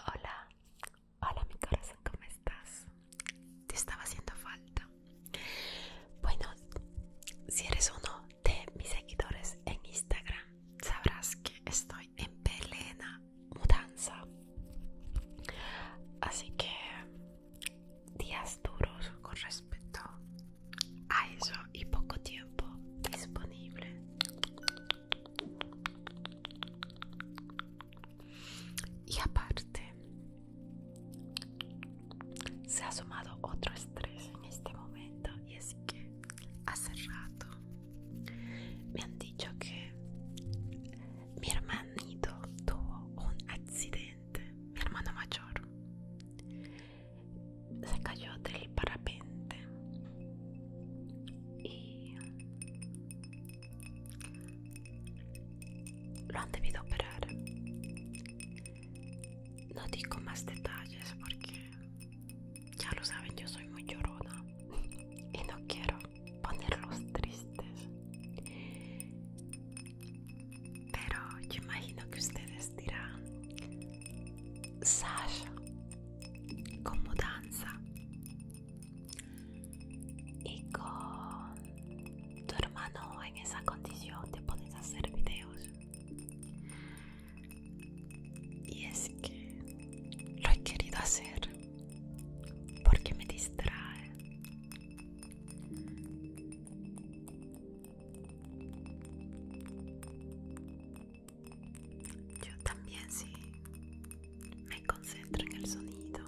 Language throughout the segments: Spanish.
Hola, hola mi corazón, ¿cómo estás? Te estaba haciendo falta. Bueno, si eres uno de mis seguidores en Instagram sabrás que estoy en plena mudanza. Así que días duros con respecto a eso y poco tiempo disponible. Y aparte, se ha sumado otro estrés en este momento y así que hace rato me han dicho que mi hermanito tuvo un accidente, mi hermano mayor se cayó del parapente y lo han debido operar. No digo más detalles porque ya lo saben, yo soy muy llorona y no quiero ponerlos tristes. Pero yo imagino que ustedes dirán, Sasha, con danza? Y con tu hermano en esa condición te pones a hacer videos. Y es que lo he querido hacer porque me distrae. Yo también sí me concentro en el sonido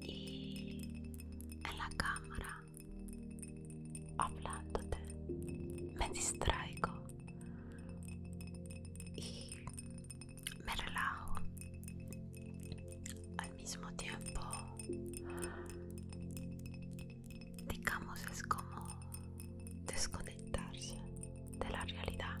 y en la cámara hablándote, me distraigo y me relajo. Al mismo tiempo, digamos, es como desconectarse de la realidad.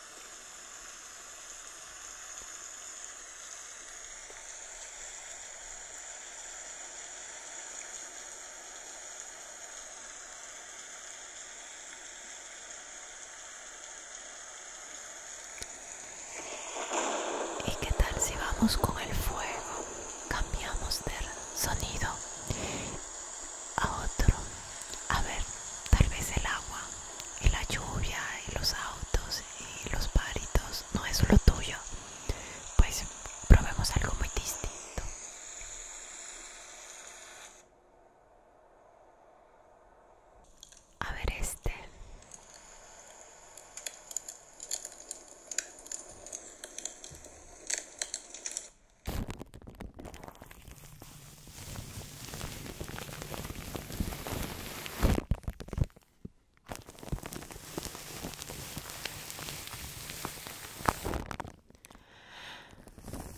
¿Y qué tal si vamos con el fuego? Cambiamos de sonido a otro. A ver, tal vez el agua y la lluvia y los autos y los paritos no es lo tuyo, pues probemos algo muy distinto. A ver este.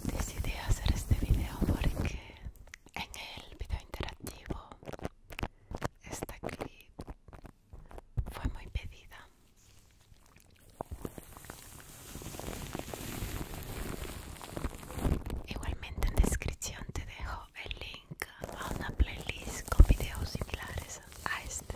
Decidí hacer este video porque en el video interactivo esta clip fue muy pedida. Igualmente en descripción te dejo el link una playlist con videos similares a este.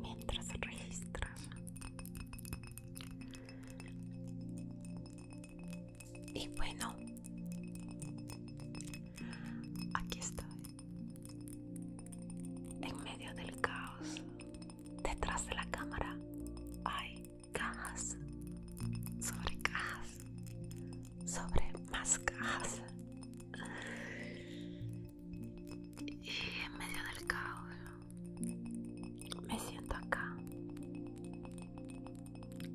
Mientras registras y bueno, aquí estoy, en medio del caos, detrás de la cámara hay cajas sobre cajas, sobre más cajas. Y en medio del caos me siento acá.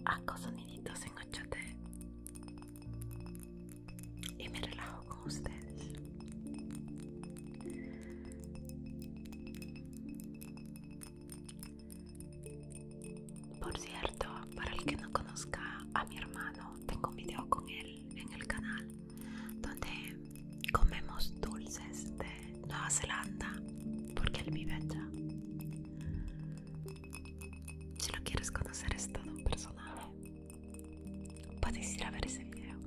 Hago soniditos en y me relajo con ustedes. Por cierto, para el que no conozca a mi hermano, tengo un video con él en el canal donde comemos dulces de Nueva Zelanda porque él vive allá. Si no quieres conocer es todo un personaje. Puedes ir a ver ese video.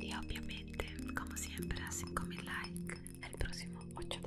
Y obviamente, como siempre, a 5000 likes el próximo 8D.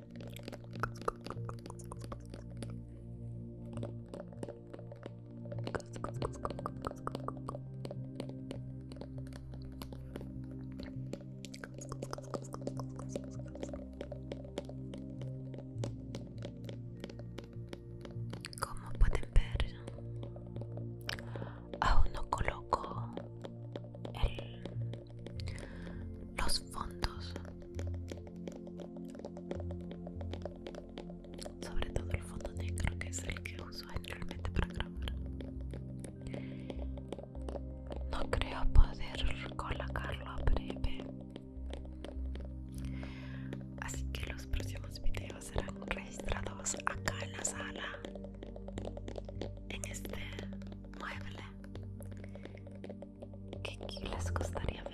Como pueden ver, aún no coloco los fondos sobre todo el fondo negro que es el que uso generalmente para grabar no creo poder colocarlo a breve así que los próximos videos serán registrados acá en la sala en este mueble que les gustaría ver.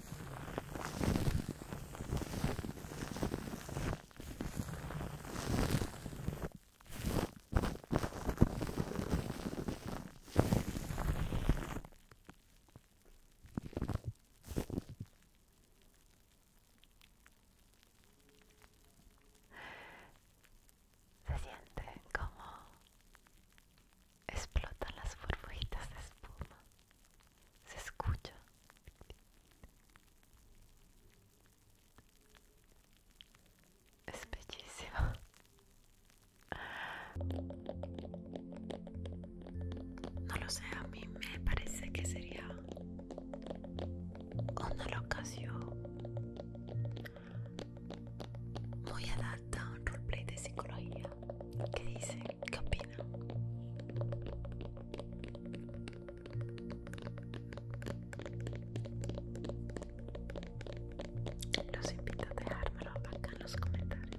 Se siente como explotan las burbujitas de espuma se escucha es bellísima no lo sé a mí me parece que sería una locación muy adapta a un roleplay de psicología que dice que los invito a dejármelo acá en los comentarios.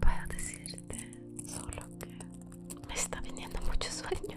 voy a decirte solo que me está viniendo mucho sueño.